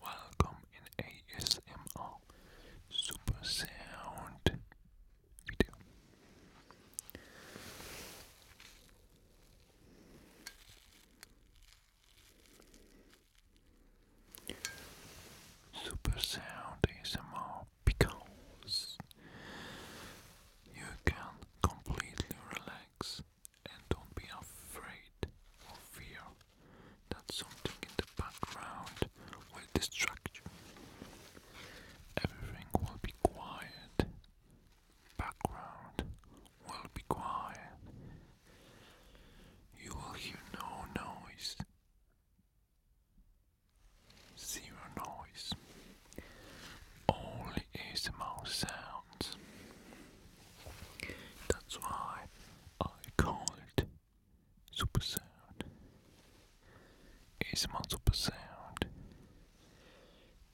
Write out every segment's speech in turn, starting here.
Welcome in ASMR Super Sound video. Super Sound ASMR because you can completely relax and don't be afraid or fear that something in the background will distract you. Everything will be quiet. Background will be quiet. You will hear no noise. Zero noise. Only ASMR sounds. That's why I call it Super Sound. ASMR Super Sound.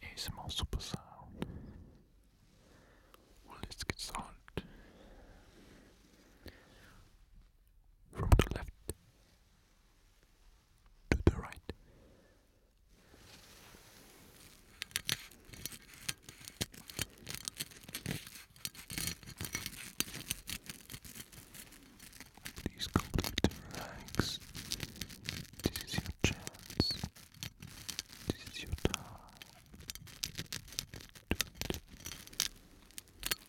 ASMR Super Sound. Well, let's get started. From the left to the right. Please completely relax. This is your chance. This is your time.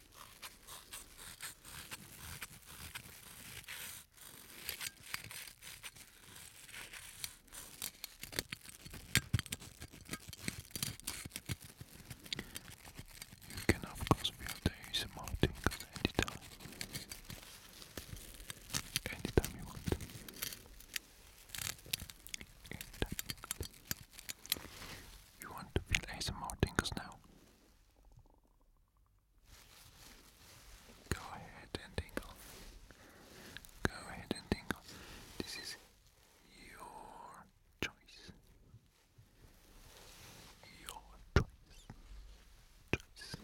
You can of course feel the ASMR tingles anytime. Anytime you want. Anytime you You want to feel ASMR tingles now? Go ahead and tingle. Go ahead and tingle. This is your choice. Your choice. Choice.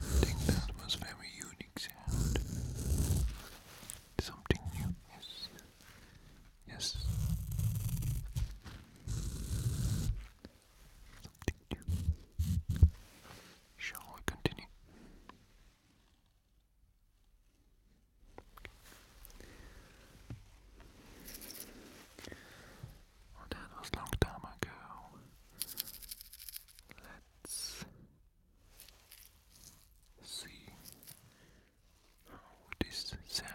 I think that was very unique Something new, yes. Yes. Something new. Shall we continue? that was long time ago. Let's see how this sound.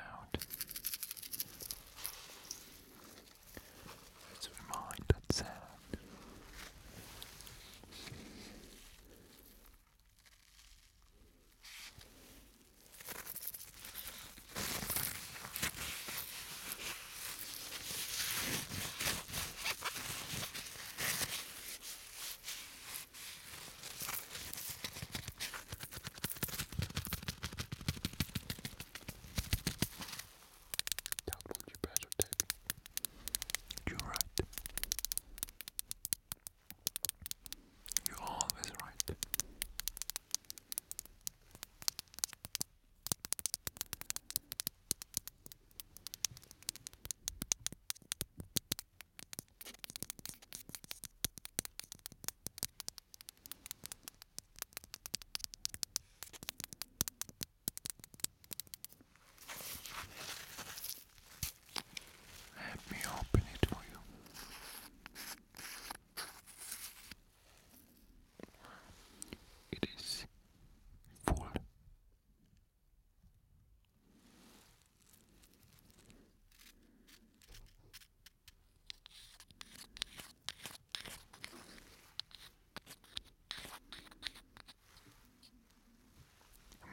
Let's remind that sound. Download your browser type. You're right. You're always right. Let me open it for you. It is full.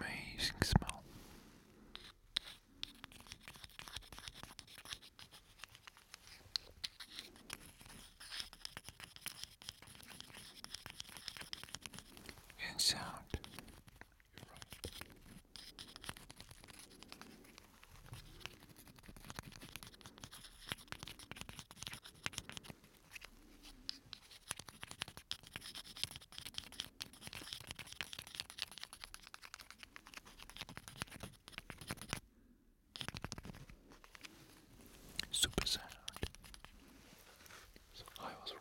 Amazing smell and sound. You're right. Super sound. So I was right.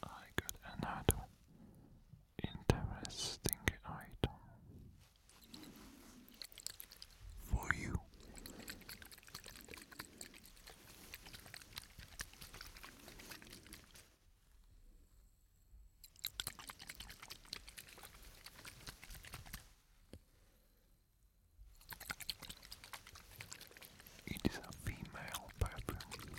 I got another interesting item for you. It is a female perfume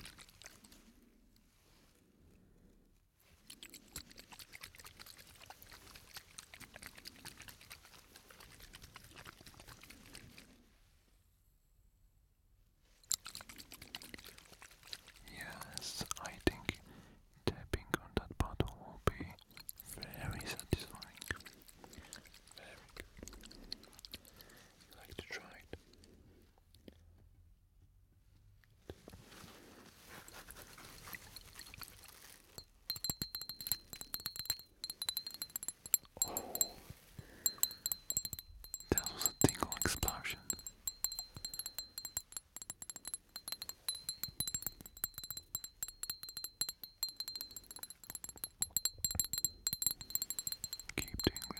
Yes, I think tapping on that bottle will be very satisfying. Very good. like to try it. Oh, that was a tingle explosion. Keep tingling.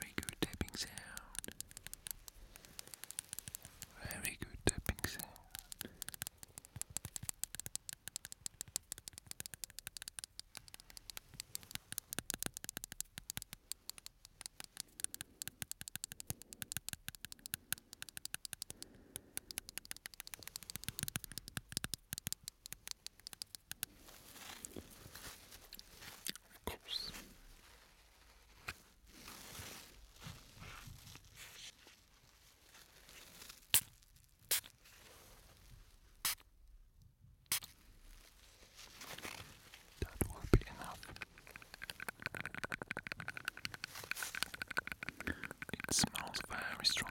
Very good tapping sound. Very good tapping sound. That will be enough. It smells very strong.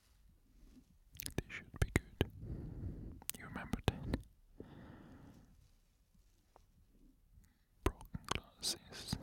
They should be good. You remember that? Broken glasses.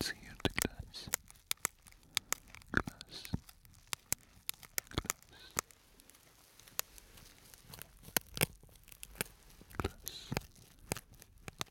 It's here to glass, glass, glass, glass,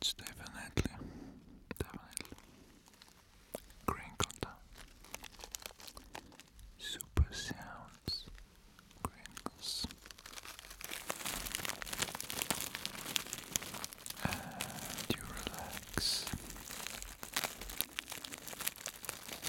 It's definitely, definitely crinkled. Super sounds, crinkles. And you relax.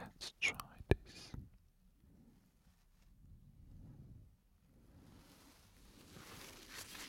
Let's try this.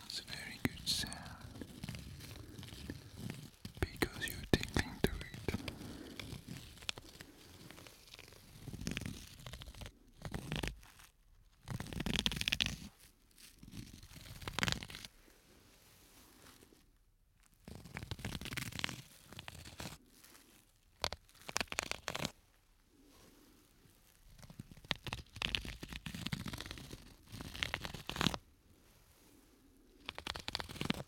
That's a very good sound because you're tingling to it.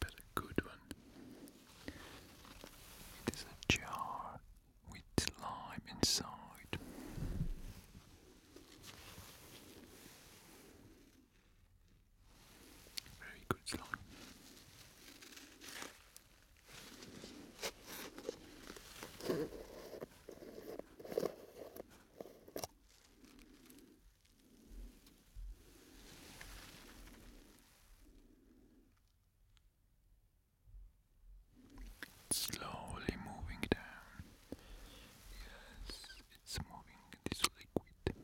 but a good one. It is a jar with slime inside. Very good slime slowly moving down. Yes, it's moving this liquid.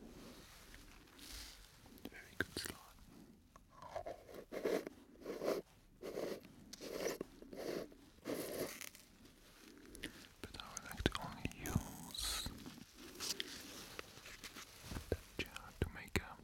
Very good slot. But I would like to only use that jar to make a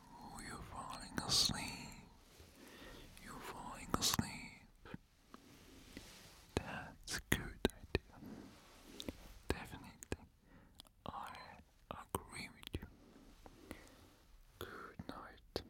Oh, you're falling asleep. You're falling asleep. That's a good idea. Definitely. I agree with you. Good night.